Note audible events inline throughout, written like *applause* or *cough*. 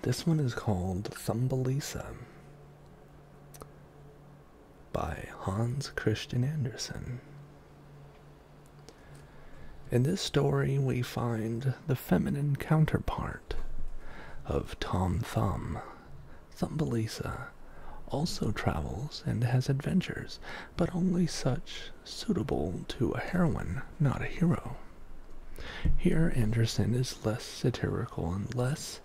This one is called Thumbelisa by Hans Christian Andersen. In this story, we find the feminine counterpart of Tom Thumb. Thumbelisa also travels and has adventures, but only such suitable to a heroine, not a hero. Here, Andersen is less satirical and less,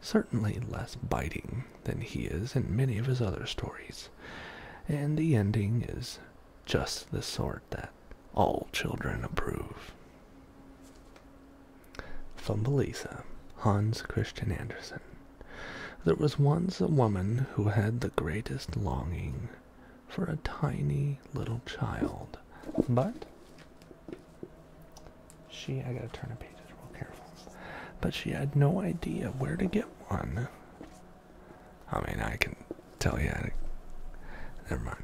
certainly less biting than he is in many of his other stories, and the ending is just the sort that all children approve. Thumbelisa, Hans Christian Andersen. There was once a woman who had the greatest longing for a tiny little child. But she, I gotta turn the pages real careful. But she had no idea where to get one. I mean, I can tell you. I, never mind.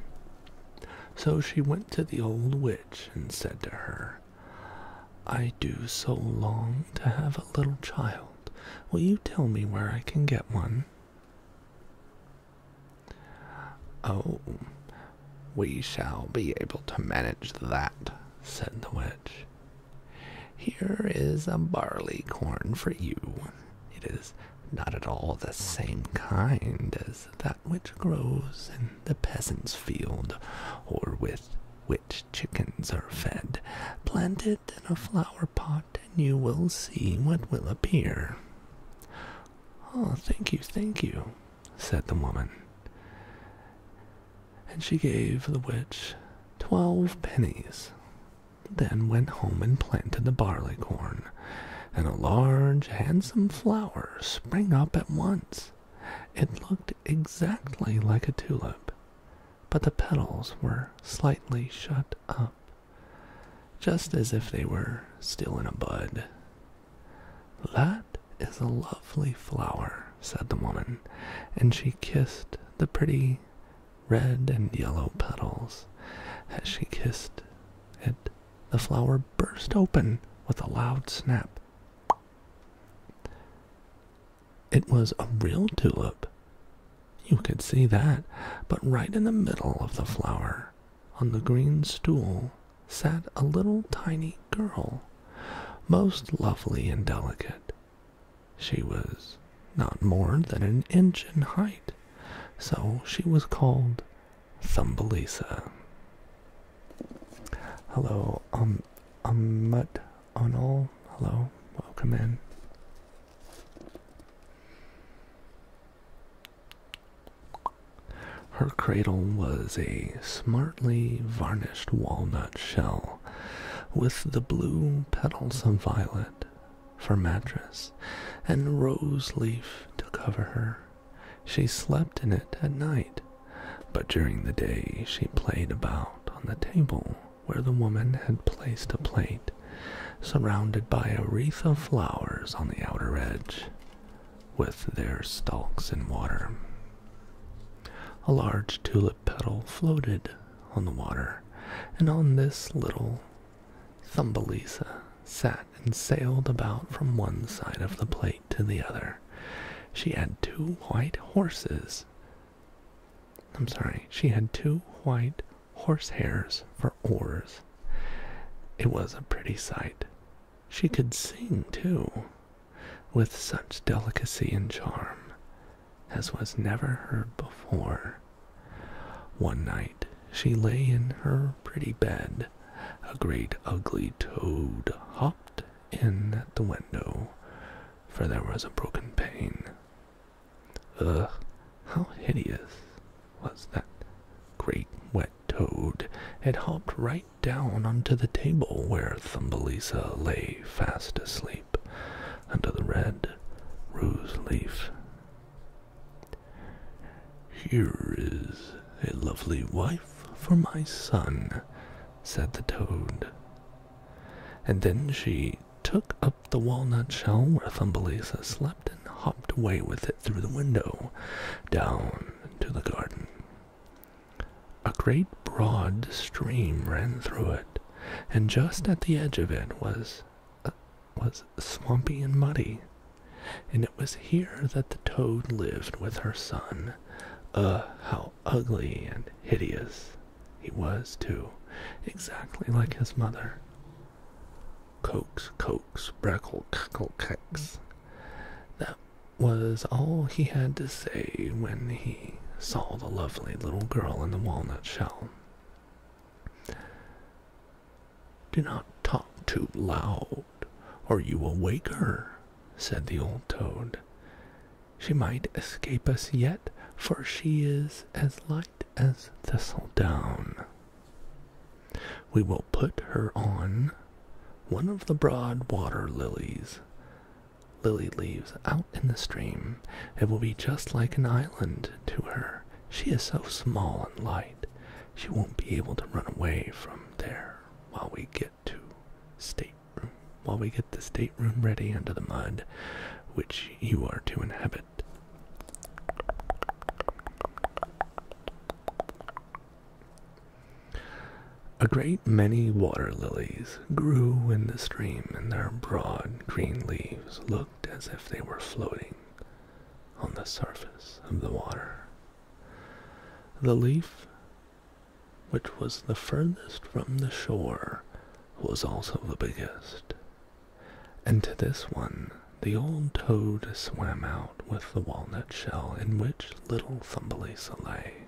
So she went to the old witch and said to her, I do so long to have a little child. Will you tell me where I can get one? Oh, we shall be able to manage that, said the witch. Here is a barley corn for you. It is not at all the same kind as that which grows in the peasant's field, or with which chickens are fed. Plant it in a flower pot, and you will see what will appear. Oh, thank you, thank you, said the woman. And she gave the witch twelve pennies, then went home and planted the barley corn, and a large, handsome flower sprang up at once. It looked exactly like a tulip, but the petals were slightly shut up just as if they were still in a bud. That is a lovely flower, said the woman, and she kissed the pretty red and yellow petals. As she kissed it, the flower burst open with a loud snap. It was a real tulip. You could see that, but right in the middle of the flower on the green stool sat a little tiny girl, most lovely and delicate. She was not more than an inch in height, so she was called Thumbelisa. Hello, um, um, mut on Hello, welcome in. Her cradle was a smartly varnished walnut shell with the blue petals of violet for mattress and rose leaf to cover her. She slept in it at night, but during the day she played about on the table where the woman had placed a plate surrounded by a wreath of flowers on the outer edge, with their stalks in water. A large tulip petal floated on the water, and on this little Thumbelisa sat and sailed about from one side of the plate to the other. She had two white horses. I'm sorry, she had two white horse hairs for oars. It was a pretty sight. She could sing, too, with such delicacy and charm as was never heard before. One night she lay in her pretty bed. A great ugly toad hopped in at the window, for there was a broken pane. Ugh, how hideous was that great wet toad It hopped right down onto the table where Thumbelisa lay fast asleep under the red rose leaf. Here is a lovely wife for my son, said the toad. And then she took up the walnut shell where Thumbelisa slept and hopped away with it through the window, down into the garden. A great broad stream ran through it, and just at the edge of it was uh, was swampy and muddy, and it was here that the toad lived with her son. Uh, how ugly and hideous he was too, exactly like his mother. Cokes, cokes, brackle, cackle, cacks. That was all he had to say when he saw the lovely little girl in the walnut shell. Do not talk too loud, or you will wake her, said the old toad. She might escape us yet, for she is as light light as thistledown. We will put her on one of the broad water lilies. Lily leaves out in the stream. It will be just like an island to her. She is so small and light, she won't be able to run away from there while we get to stateroom. While we get the stateroom ready under the mud, which you are to inhabit. A great many water lilies grew in the stream, and their broad green leaves looked as if they were floating on the surface of the water. The leaf, which was the furthest from the shore, was also the biggest, and to this one the old toad swam out with the walnut shell in which little Thumbelisa lay.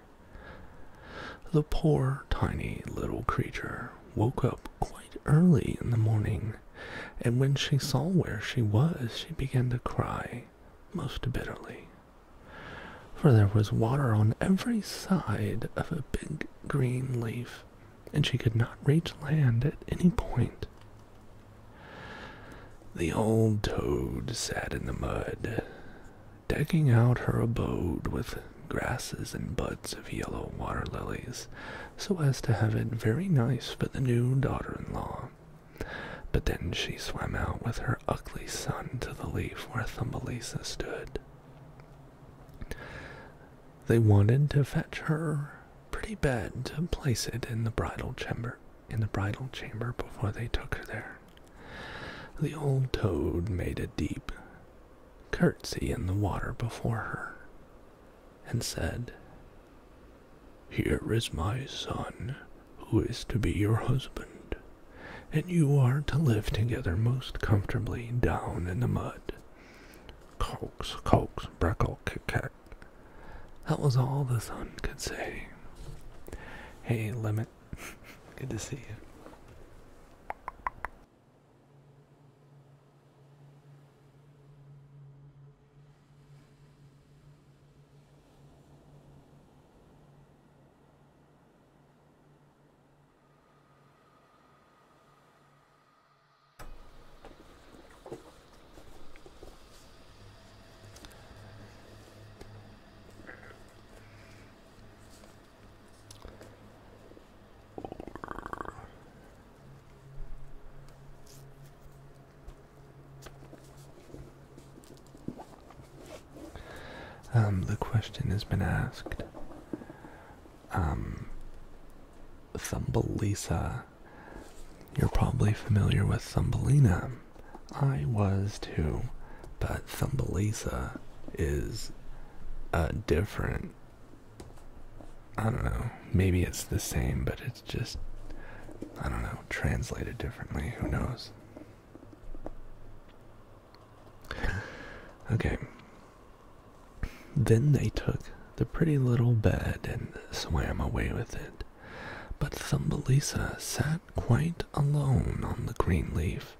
The poor tiny little creature woke up quite early in the morning, and when she saw where she was, she began to cry most bitterly. For there was water on every side of a big green leaf and she could not reach land at any point. The old toad sat in the mud, decking out her abode with grasses and buds of yellow water lilies so as to have it very nice for the new daughter in law. But then she swam out with her ugly son to the leaf where Thumbelisa stood. They wanted to fetch her pretty bed to place it in the bridal chamber in the bridal chamber before they took her there. The old toad made a deep curtsy in the water before her and said, Here is my son, who is to be your husband, and you are to live together most comfortably down in the mud. Coax, coax, Breckel, kick, That was all the sun could say. Hey, Limit. *laughs* Good to see you. Um, the question has been asked um, Thumbelisa. You're probably familiar with Thumbelina. I was too, but Thumbelisa is a different. I don't know. Maybe it's the same, but it's just, I don't know, translated differently. Who knows? okay. Then they took the pretty little bed and swam away with it. But Thumbelisa sat quite alone on the green leaf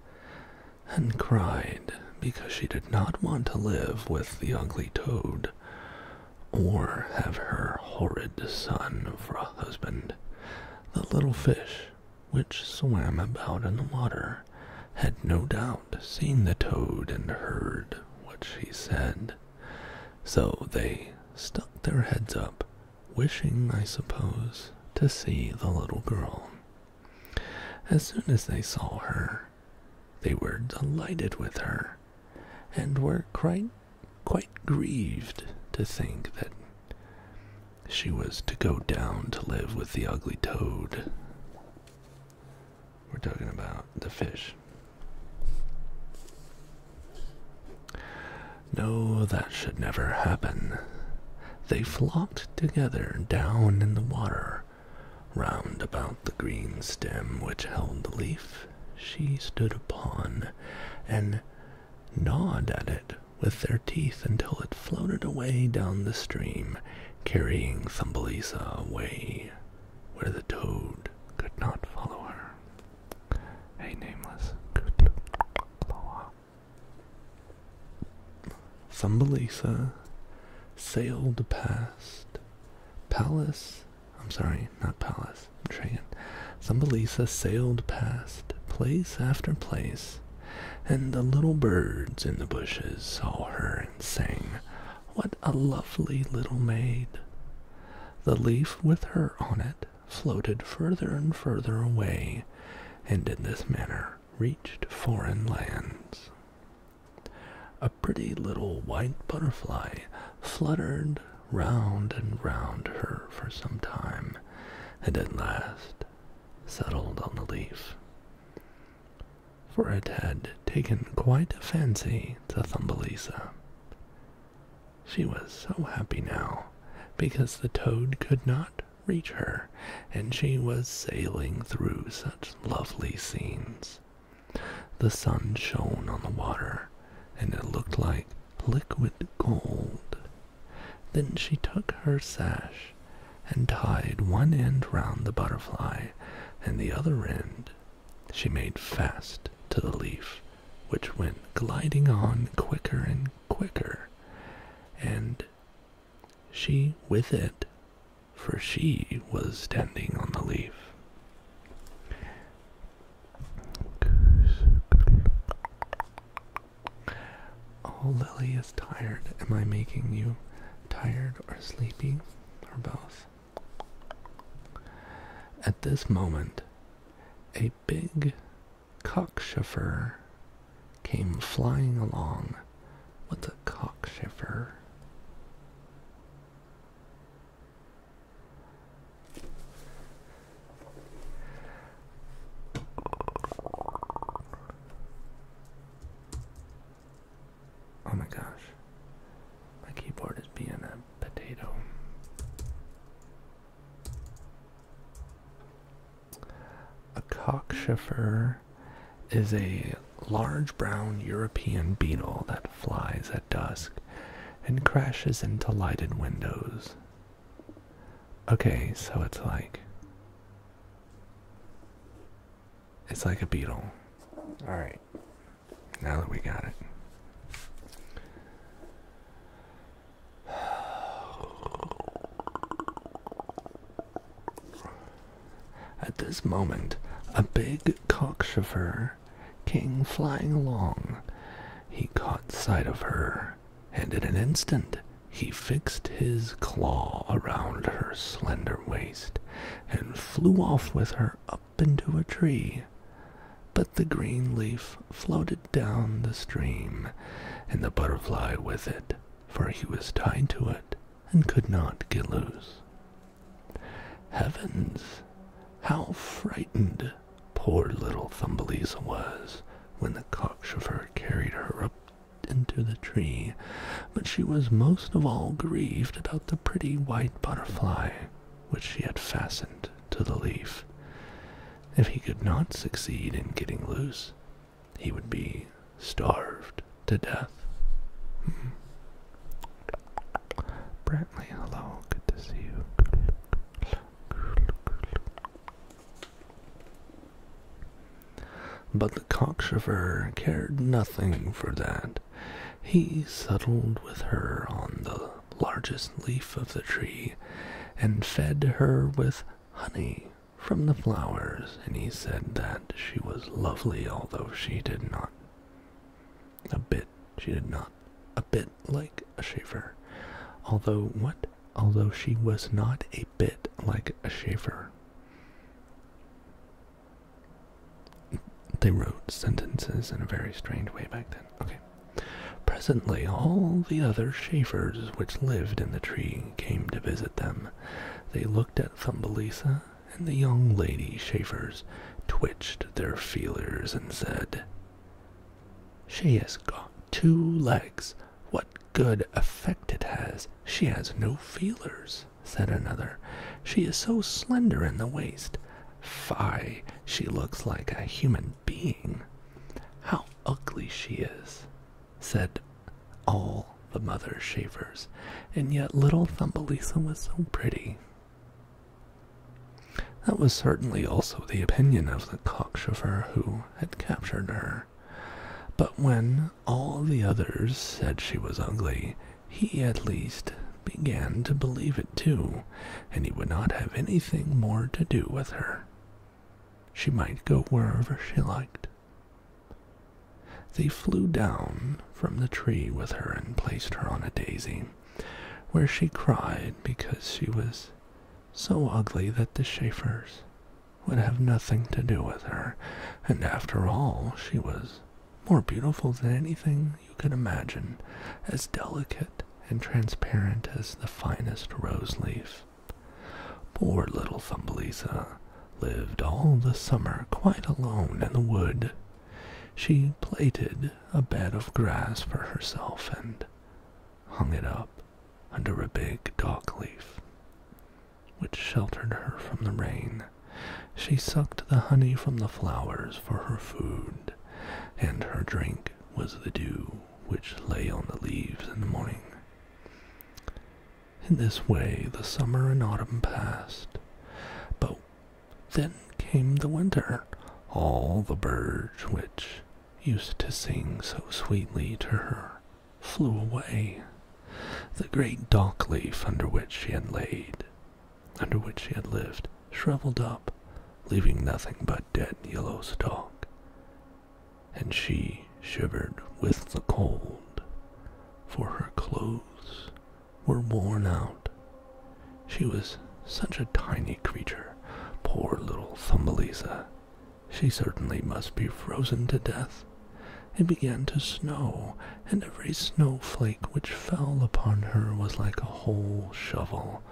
and cried because she did not want to live with the ugly toad or have her horrid son for a husband. The little fish, which swam about in the water, had no doubt seen the toad, and heard what she said. So they stuck their heads up, wishing, I suppose, to see the little girl. As soon as they saw her, they were delighted with her, and were quite, quite grieved to think that she was to go down to live with the ugly toad. We're talking about the fish. No, that should never happen. They flopped together down in the water. Round about the green stem which held the leaf, she stood upon and gnawed at it with their teeth until it floated away down the stream, carrying Thumbelisa away where the toad could not follow her. Hey, Nameless, could Thumbelisa sailed past Palace. I'm sorry, not Palace. Train, am Thumbelisa sailed past place after place, and the little birds in the bushes saw her and sang, what a lovely little maid! The leaf with her on it floated further and further away, and in this manner reached foreign lands. A pretty little white butterfly fluttered round and round her for some time, and at last settled on the leaf for it had taken quite a fancy to Thumbelisa. She was so happy now because the toad could not reach her, and she was sailing through such lovely scenes. The sun shone on the water, and it looked like liquid gold. Then she took her sash and tied one end round the butterfly and the other end she made fast to the leaf, which went gliding on quicker and quicker, and she with it, for she was standing on the leaf. Oh, Lily is tired. Am I making you tired or sleepy or both? At this moment, a big cockchafer came flying along. with a cockchafer? Oh my gosh. My keyboard is being a potato. A cockchafer is a large brown European beetle that flies at dusk and crashes into lighted windows. Okay, so it's like. It's like a beetle. Alright. Now that we got it. At this moment, a big cockchafer came flying along. He caught sight of her, and in an instant he fixed his claw around her slender waist and flew off with her up into a tree. But the green leaf floated down the stream, and the butterfly with it, for he was tied to it and could not get loose. Heavens! How frightened poor little Thumbelisa was when the cockchafer carried her up into the tree, but she was most of all grieved about the pretty white butterfly which she had fastened to the leaf. If he could not succeed in getting loose, he would be starved to death. Brantley, hello, good to see you. But the cockchafer cared nothing for that he settled with her on the largest leaf of the tree and fed her with honey from the flowers, and he said that she was lovely, although she did not a bit, she did not a bit like a shaver. Although what? Although she was not a bit like a shaver. They wrote sentences in a very strange way back then. Presently, all the other shafers which lived in the tree came to visit them. They looked at Thumbelisa, and the young lady shafers, twitched their feelers and said, She has got two legs. What good effect it has. She has no feelers said another. She is so slender in the waist. Fie, she looks like a human being. How ugly she is, said all the mother shavers, and yet little Thumbelisa was so pretty. That was certainly also the opinion of the cockchafer who had captured her. But when all the others said she was ugly, he at least began to believe it too, and he would not have anything more to do with her. She might go wherever she liked. They flew down from the tree with her and placed her on a daisy, where she cried because she was so ugly that the Schaefers would have nothing to do with her, and after all, she was more beautiful than anything you could imagine, as delicate and transparent as the finest rose leaf. Poor little Thumbelisa lived all the summer quite alone in the wood. She plaited a bed of grass for herself and hung it up under a big dock leaf which sheltered her from the rain. She sucked the honey from the flowers for her food, and her drink was the dew which lay on the leaves in the morning. In this way the summer and autumn passed, but then came the winter. All the birds which used to sing so sweetly to her flew away the great dock leaf under which she had laid, under which she had lived, shriveled up, leaving nothing but dead yellow stalk. And she shivered with the cold, for her clothes were worn out. She was such a tiny creature, poor little Thumbelisa. She certainly must be frozen to death. It began to snow, and every snowflake which fell upon her was like a whole shovel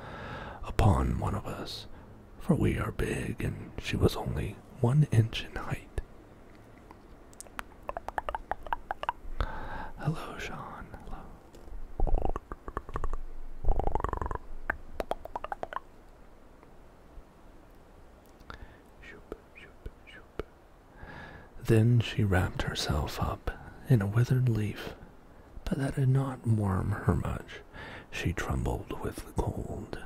upon one of us, for we are big, and she was only one inch in height. Hello, Sean. Then she wrapped herself up in a withered leaf, but that did not warm her much. She trembled with the cold.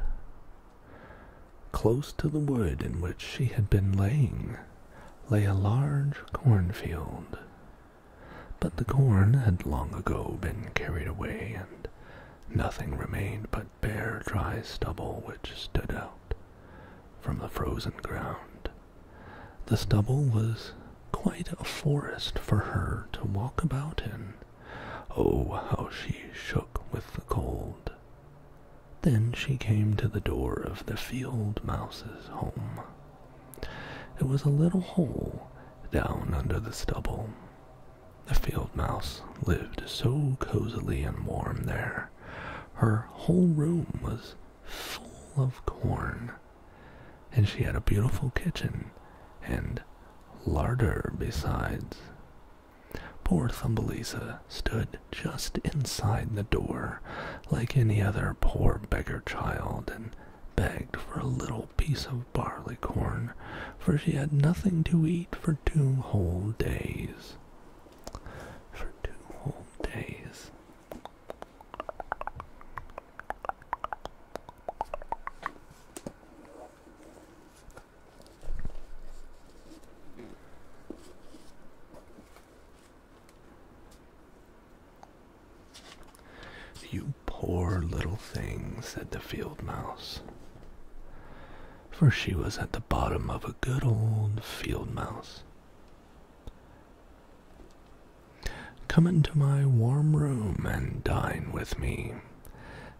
Close to the wood in which she had been laying lay a large cornfield, but the corn had long ago been carried away, and nothing remained but bare dry stubble which stood out from the frozen ground. The stubble was quite a forest for her to walk about in. Oh, how she shook with the cold. Then she came to the door of the field mouse's home. It was a little hole down under the stubble. The field mouse lived so cozily and warm there her whole room was full of corn, and she had a beautiful kitchen and larder besides. Poor Thumbelisa stood just inside the door, like any other poor beggar child, and begged for a little piece of barley corn, for she had nothing to eat for two whole days for two whole days. You poor little thing, said the field mouse for she was at the bottom of a good old field mouse. Come into my warm room and dine with me.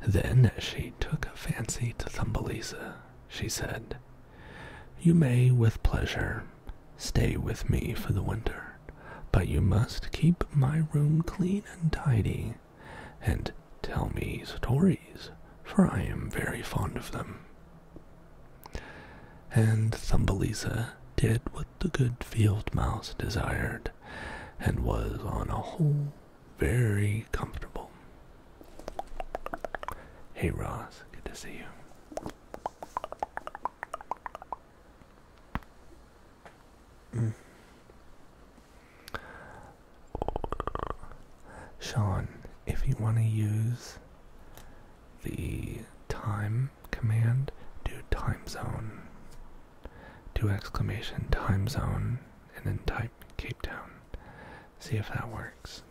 Then, as she took a fancy to Thumbelisa, she said, You may, with pleasure, stay with me for the winter, but you must keep my room clean and tidy, and tell me stories for I am very fond of them. And Thumbelisa did what the good field mouse desired, and was on a whole very comfortable. Hey Ross, good to see you. Mm. Sean, if you want to use the time command, do time zone. Do exclamation time zone and then type Cape Town. See if that works.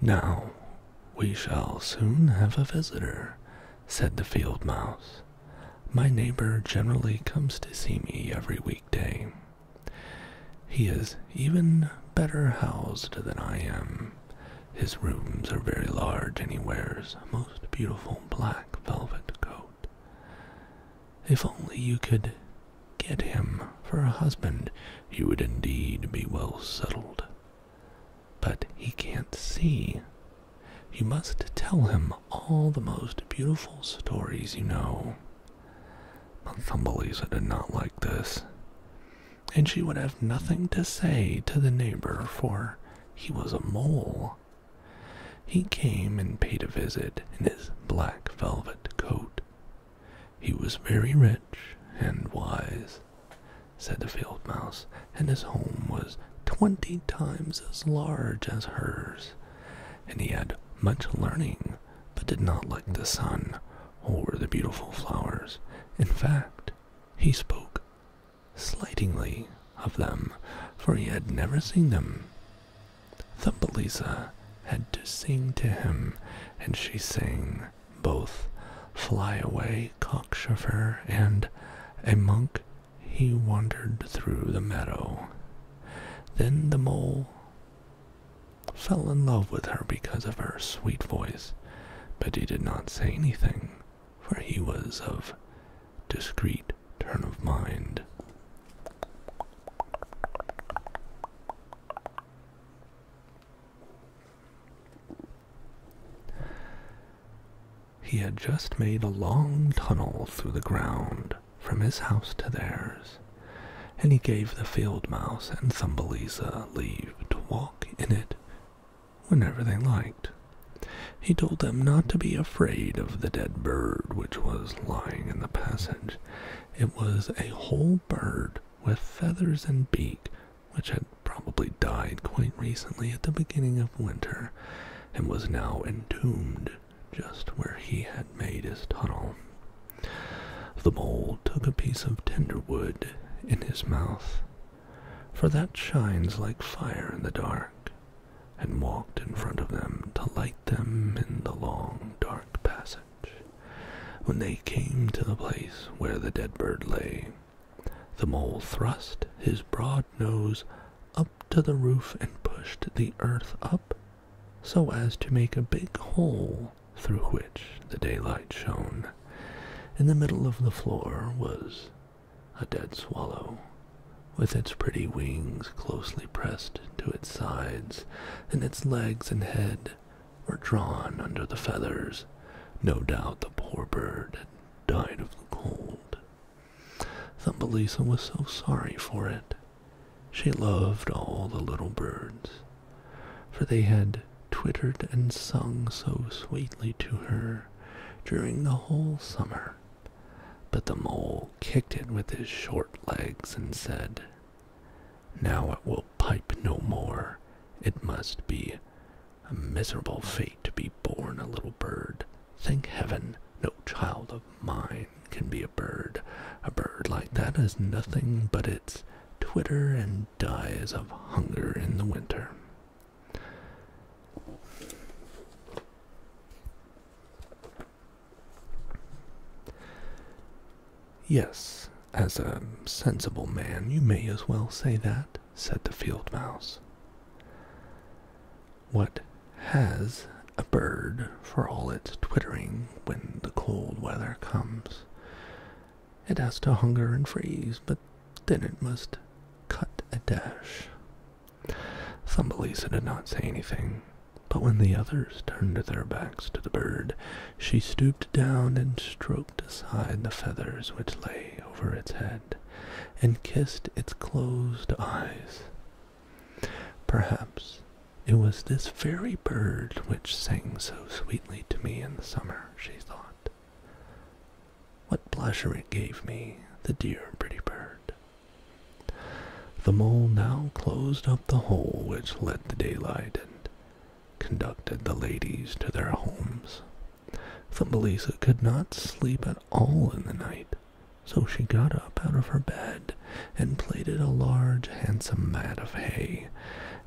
Now we shall soon have a visitor, said the field mouse. My neighbor generally comes to see me every weekday. He is even better housed than I am. His rooms are very large and he wears most beautiful black velvet coat. If only you could get him for a husband, you would indeed be well settled. But he can't see. You must tell him all the most beautiful stories you know. Thumbelisa did not like this, and she would have nothing to say to the neighbor, for he was a mole he came and paid a visit in his black velvet coat. He was very rich and wise, said the field mouse, and his home was twenty times as large as hers, and he had much learning, but did not like the sun or the beautiful flowers. In fact, he spoke slightingly of them, for he had never seen them. Thumbelisa had to sing to him, and she sang both Fly Away, Cockchafer, and A Monk He Wandered Through the Meadow. Then the mole fell in love with her because of her sweet voice, but he did not say anything for he was of discreet turn of mind. He had just made a long tunnel through the ground from his house to theirs, and he gave the field mouse and Thumbelisa leave to walk in it whenever they liked. He told them not to be afraid of the dead bird which was lying in the passage. It was a whole bird with feathers and beak, which had probably died quite recently at the beginning of winter, and was now entombed just where he had made his tunnel. The mole took a piece of tender wood in his mouth for that shines like fire in the dark, and walked in front of them to light them in the long dark passage. When they came to the place where the dead bird lay, the mole thrust his broad nose up to the roof and pushed the earth up so as to make a big hole through which the daylight shone. In the middle of the floor was a dead swallow, with its pretty wings closely pressed to its sides, and its legs and head were drawn under the feathers. No doubt the poor bird had died of the cold. Thumbelisa was so sorry for it. She loved all the little birds, for they had twittered and sung so sweetly to her during the whole summer, but the mole kicked it with his short legs and said, Now it will pipe no more. It must be a miserable fate to be born a little bird. Thank heaven, no child of mine can be a bird. A bird like that has nothing but its twitter and dies of hunger in the winter. Yes, as a sensible man, you may as well say that, said the field mouse. What has a bird for all its twittering when the cold weather comes? It has to hunger and freeze, but then it must cut a dash. Thumbelisa did not say anything, but when the others turned their backs to the bird, she stooped down and stroked aside the feathers which lay over its head, and kissed its closed eyes. Perhaps it was this very bird which sang so sweetly to me in the summer, she thought. What pleasure it gave me, the dear pretty bird. The mole now closed up the hole which let the daylight and conducted the ladies to their homes. Thumbelisa could not sleep at all in the night, so she got up out of her bed and plaited a large handsome mat of hay,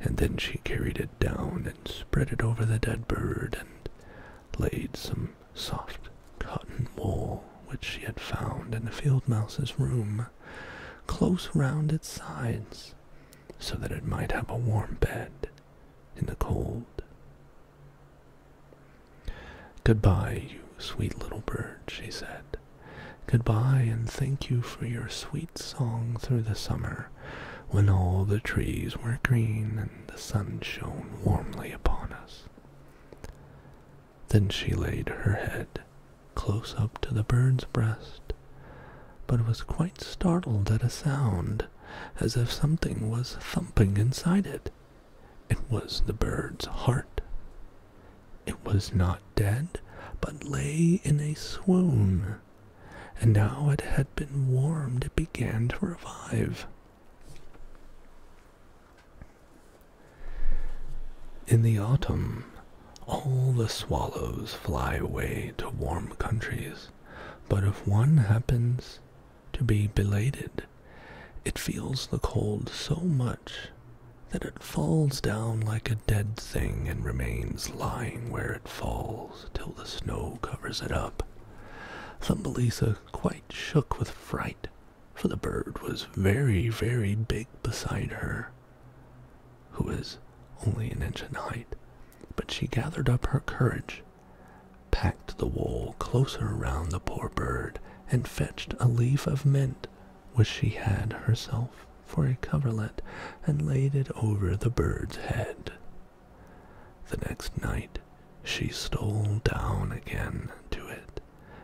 and then she carried it down and spread it over the dead bird and laid some soft cotton wool which she had found in the field mouse's room, close round its sides, so that it might have a warm bed in the cold. Goodbye, you sweet little bird, she said. Goodbye, and thank you for your sweet song through the summer, when all the trees were green the sun shone warmly upon us. Then she laid her head close up to the bird's breast, but was quite startled at a sound as if something was thumping inside it. It was the bird's heart. It was not dead, but lay in a swoon, and now it had been warmed, it began to revive. In the autumn, all the swallows fly away to warm countries, but if one happens to be belated, it feels the cold so much that it falls down like a dead thing and remains lying where it falls till the snow covers it up. Thumbelisa quite shook with fright, for the bird was very, very big beside her, who was only an inch in height. But she gathered up her courage, packed the wool closer round the poor bird, and fetched a leaf of mint which she had herself for a coverlet, and laid it over the bird's head. The next night she stole down again to it,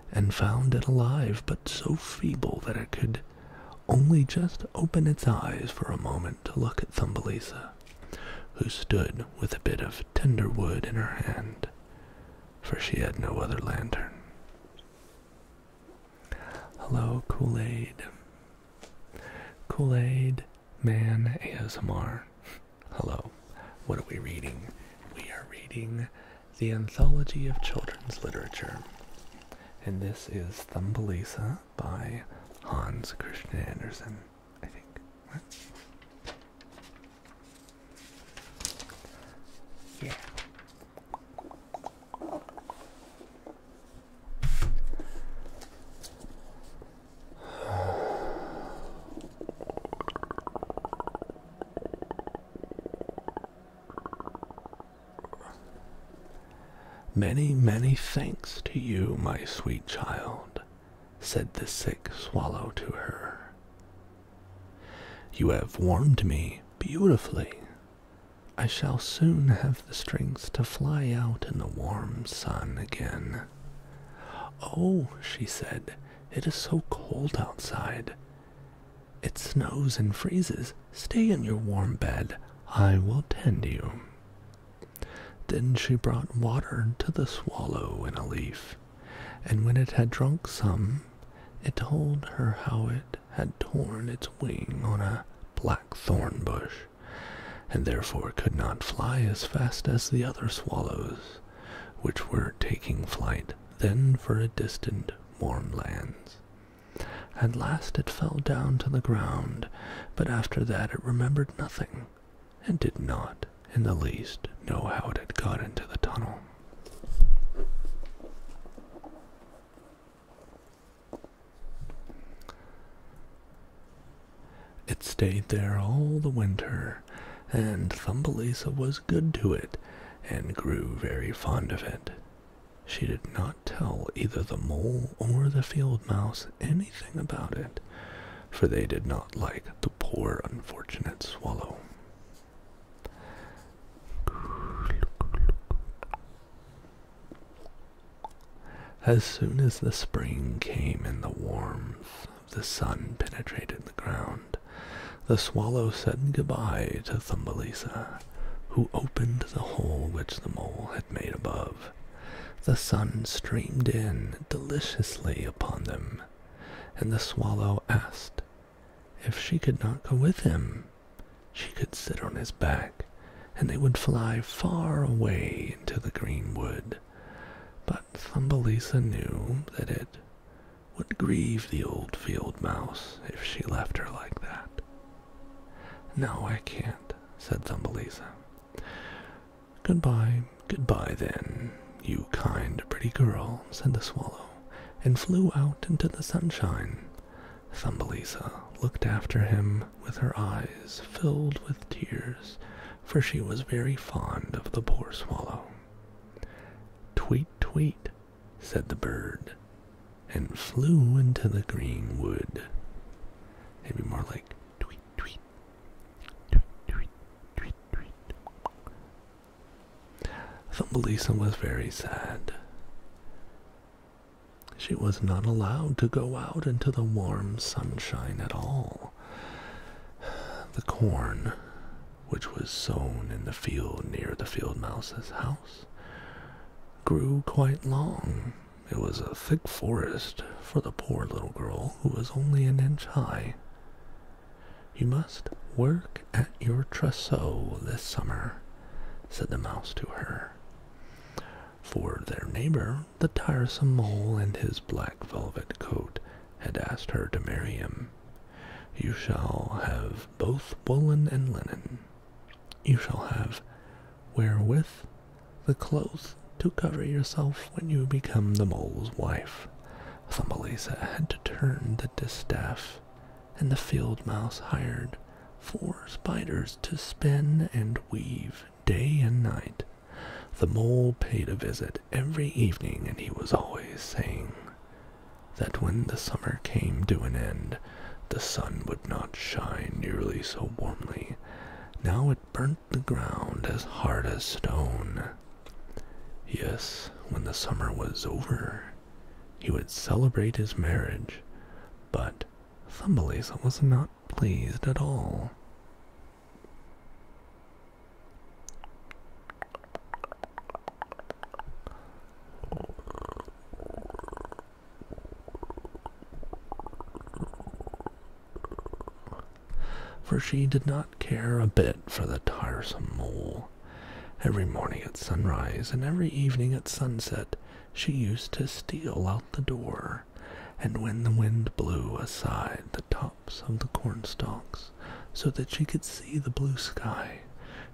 and found it alive but so feeble that it could only just open its eyes for a moment to look at Thumbelisa, who stood with a bit of tender wood in her hand, for she had no other lantern. Hello, Kool Aid. Kool Aid Man ASMR. Hello. What are we reading? We are reading The Anthology of Children's Literature. And this is Thumbelisa by Hans Christian Andersen, I think. Yeah. Many, many thanks to you, my sweet child, said the sick swallow to her. You have warmed me beautifully. I shall soon have the strength to fly out in the warm sun again. Oh, she said, it is so cold outside. It snows and freezes. Stay in your warm bed. I will tend you. Then she brought water to the swallow in a leaf, and when it had drunk some, it told her how it had torn its wing on a black thorn bush and therefore could not fly as fast as the other swallows, which were taking flight then for a distant warm lands. At last it fell down to the ground, but after that it remembered nothing, and did not in the least know how it had got into the tunnel. It stayed there all the winter, and Thumbelisa was good to it, and grew very fond of it. She did not tell either the mole or the field mouse anything about it, for they did not like the poor unfortunate swallow. As soon as the spring came and the warmth of the sun penetrated the ground, the swallow said good-bye to Thumbelisa, who opened the hole which the mole had made above. The sun streamed in deliciously upon them, and the swallow asked if she could not go with him. She could sit on his back, and they would fly far away into the green wood but Thumbelisa knew that it would grieve the old field mouse if she left her like that. No, I can't, said Thumbelisa. Goodbye, goodbye then, you kind, pretty girl, said the swallow, and flew out into the sunshine. Thumbelisa looked after him with her eyes filled with tears, for she was very fond of the poor swallow. Tweet, tweet, said the bird, and flew into the green wood. it more like tweet, tweet, tweet, tweet, tweet, tweet. Thumbelisa was very sad. She was not allowed to go out into the warm sunshine at all. The corn, which was sown in the field near the field mouse's house, grew quite long. It was a thick forest for the poor little girl who was only an inch high. You must work at your trousseau this summer, said the mouse to her. For their neighbor the tiresome mole in his black velvet coat had asked her to marry him. You shall have both woolen and linen. You shall have wherewith the clothes to cover yourself when you become the mole's wife. Thumbelisa had to turn the distaff, and the field mouse hired four spiders to spin and weave day and night the mole paid a visit every evening, and he was always saying that when the summer came to an end, the sun would not shine nearly so warmly. Now it burnt the ground as hard as stone. Yes, when the summer was over, he would celebrate his marriage, but Thumbelisa was not pleased at all. For she did not care a bit for the tiresome mole. Every morning at sunrise and every evening at sunset, she used to steal out the door and when the wind blew aside the tops of the cornstalks so that she could see the blue sky,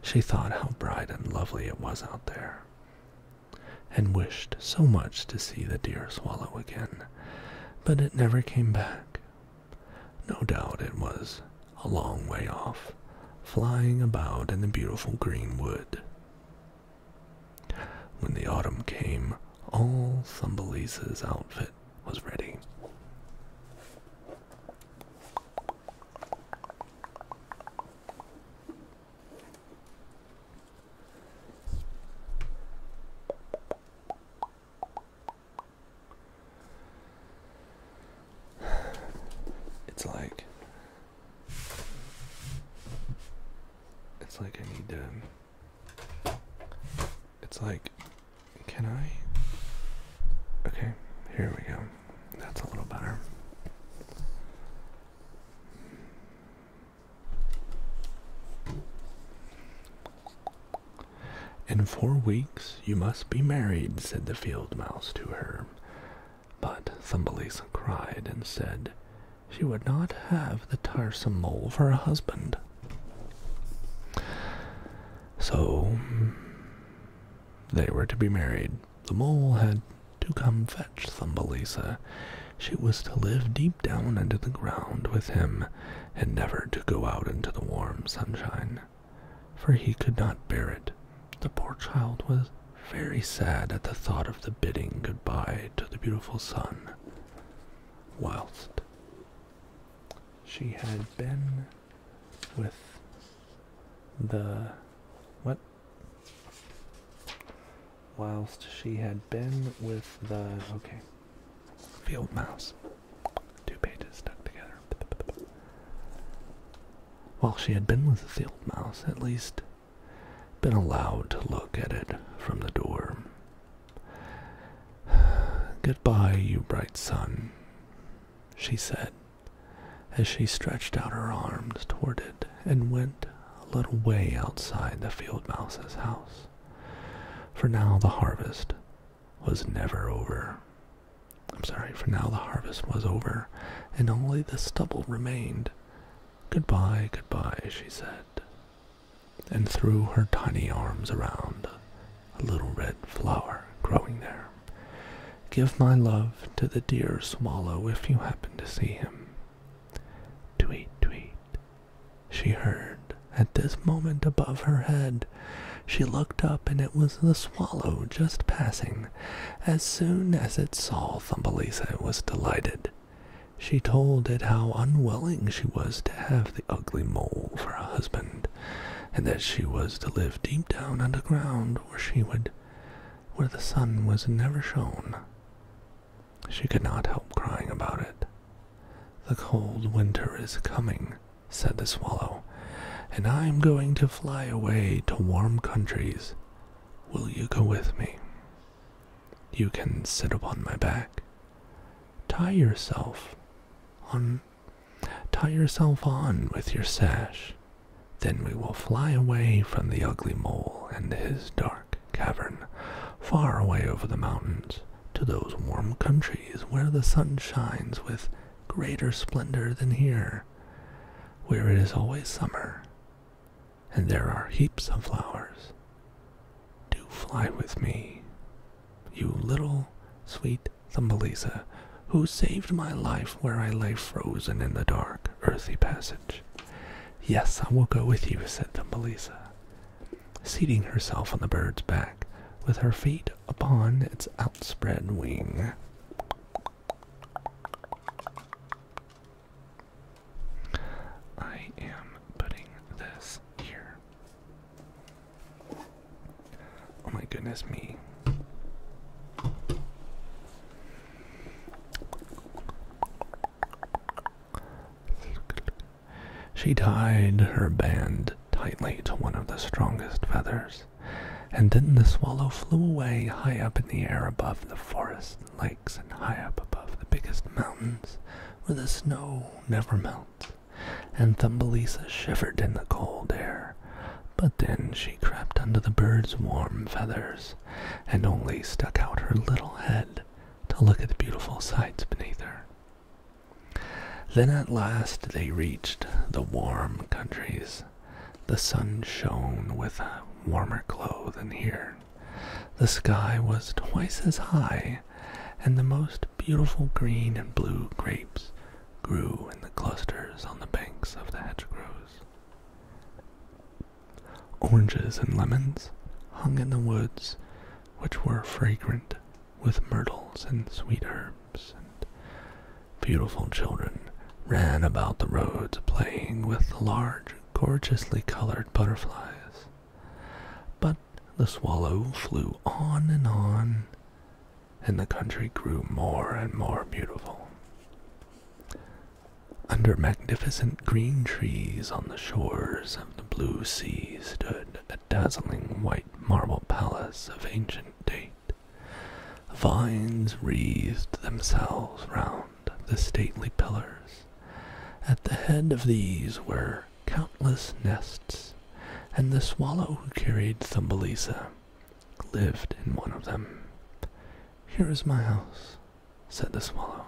she thought how bright and lovely it was out there, and wished so much to see the dear swallow again, but it never came back. No doubt it was a long way off, flying about in the beautiful green wood. When the autumn came, all Thumbelisa's outfit was ready. It's like it's like I need to it's like, can I? Okay, here we go. That's a little better. In four weeks you must be married, said the field mouse to her. But Thumbelisa cried and said, she would not have the tiresome mole for a husband. So they were to be married. The mole had to come fetch Thumbelisa. She was to live deep down under the ground with him, and never to go out into the warm sunshine, for he could not bear it. The poor child was very sad at the thought of the bidding bye to the beautiful sun whilst she had been with the what whilst she had been with the okay field mouse two pages stuck together while she had been with the field mouse at least been allowed to look at it from the door. Goodbye, you bright sun, she said, as she stretched out her arms toward it and went a little way outside the field mouse's house. For now the harvest was never over. I'm sorry, for now the harvest was over, and only the stubble remained. Goodbye, goodbye, she said, and threw her tiny arms around a little red flower growing there. Give my love to the dear swallow if you happen to see him. Tweet, tweet. She heard at this moment above her head. She looked up, and it was the swallow just passing. As soon as it saw Thumbelisa, it was delighted. She told it how unwilling she was to have the ugly mole for a husband, and that she was to live deep down underground where she would where the sun was never shown. She could not help crying about it. The cold winter is coming, said the swallow, and I am going to fly away to warm countries. Will you go with me? You can sit upon my back. Tie yourself on tie yourself on with your sash. Then we will fly away from the ugly mole and his dark cavern, far away over the mountains, to those warm countries where the sun shines with greater splendor than here, where it is always summer and there are heaps of flowers. Do fly with me, you little sweet Thumbelisa, who saved my life where I lay frozen in the dark, earthy passage. Yes, I will go with you, said Thumbelisa, seating herself on the bird's back, with her feet upon its outspread wing. I am putting this here. Oh my goodness me. She tied her band tightly to one of the strongest feathers, and then the swallow flew away high up in the air above the forest lakes and high up above the biggest mountains, where the snow never melts. And Thumbelisa shivered in the cold air, but then she crept under the bird's warm feathers, and only stuck out her little head to look at the beautiful sights beneath her. Then at last they reached the warm countries. The sun shone with a warmer glow than here, the sky was twice as high, and the most beautiful green and blue grapes grew in the clusters on the banks of the hedgerows. Oranges and lemons hung in the woods, which were fragrant with myrtles and sweet herbs, and beautiful children ran about the roads playing with the large gorgeously colored butterflies. But the swallow flew on and on, and the country grew more and more beautiful. Under magnificent green trees on the shores of the blue sea stood a dazzling white marble palace of ancient date. Vines wreathed themselves round the stately pillars. At the head of these were countless nests, and the swallow who carried Thumbelisa lived in one of them. Here is my house, said the swallow.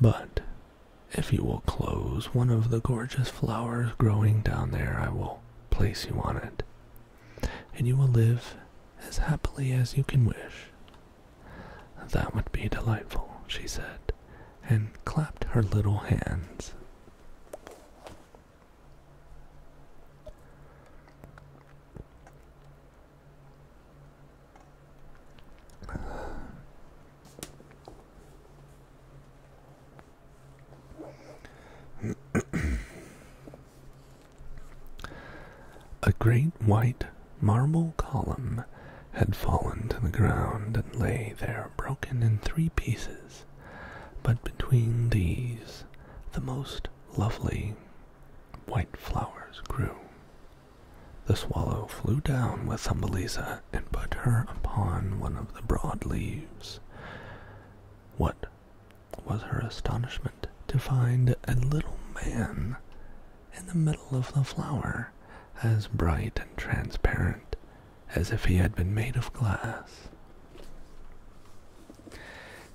But if you will close one of the gorgeous flowers growing down there, I will place you on it, and you will live as happily as you can wish. That would be delightful, she said, and clapped her little hands. A great white marble column had fallen to the ground and lay there broken in three pieces, but between these the most lovely white flowers grew. The swallow flew down with Thumbelisa and put her upon one of the broad leaves. What was her astonishment? to find a little man in the middle of the flower, as bright and transparent as if he had been made of glass.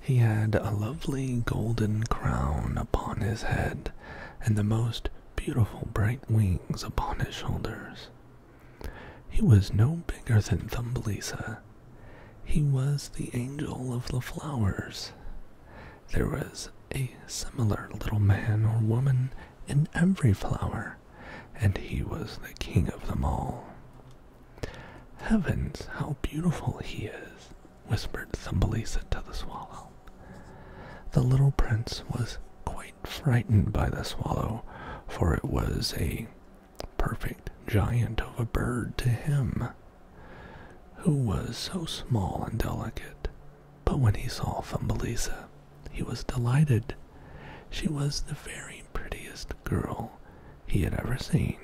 He had a lovely golden crown upon his head and the most beautiful bright wings upon his shoulders. He was no bigger than Thumbelisa. He was the angel of the flowers, there was a similar little man or woman in every flower, and he was the king of them all. Heavens, how beautiful he is! whispered Thumbelisa to the swallow. The little prince was quite frightened by the swallow, for it was a perfect giant of a bird to him who was so small and delicate. But when he saw Thumbelisa, he was delighted. She was the very prettiest girl he had ever seen.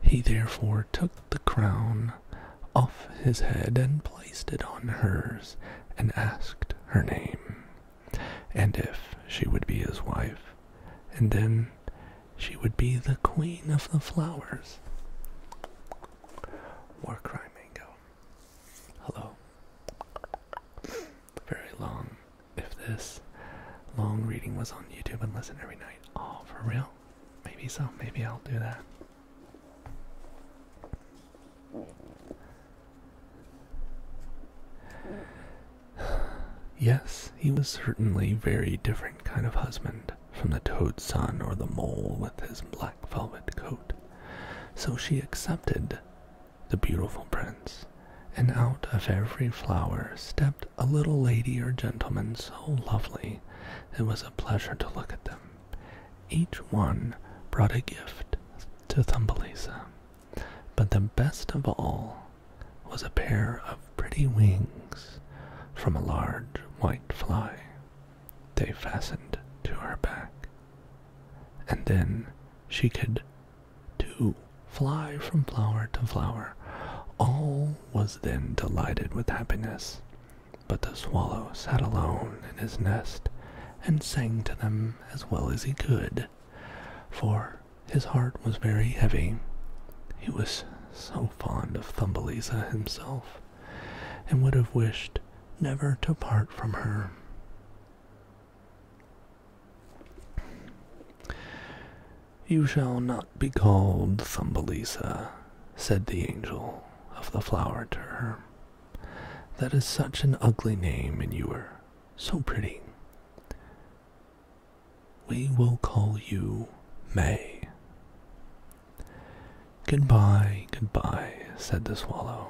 He therefore took the crown off his head and placed it on hers, and asked her name, and if she would be his wife, and then she would be the queen of the flowers. War Warcry Mango. Hello. Very long. If this long reading was on YouTube and listen every night. Oh, for real? Maybe so. Maybe I'll do that. *sighs* Yes, he was certainly very different kind of husband from the toad's son or the mole with his black velvet coat. So she accepted the beautiful prince, and out of every flower stepped a little lady or gentleman so lovely it was a pleasure to look at them. Each one brought a gift to Thumbelisa, but the best of all was a pair of pretty wings from a large white fly. They fastened to her back. And then she could, too, fly from flower to flower. All was then delighted with happiness. But the swallow sat alone in his nest and sang to them as well as he could, for his heart was very heavy. He was so fond of Thumbelisa himself, and would have wished never to part from her. You shall not be called Thumbelisa, said the angel of the flower to her. That is such an ugly name, and you are so pretty. We will call you May. Goodbye, goodbye, said the swallow,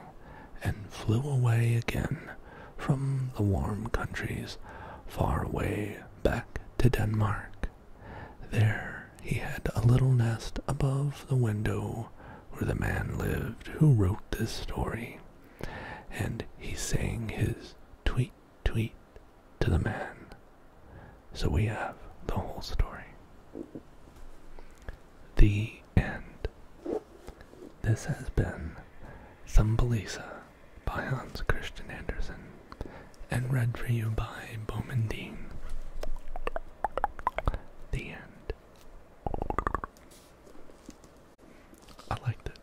and flew away again from the warm countries far away back to Denmark. There he had a little nest above the window where the man lived who wrote this story, and he sang his tweet, Tweet to the man. So we have the whole story. The end. This has been Thumbelisa by Hans Christian Andersen and read for you by Bowman Dean. The end. I liked it.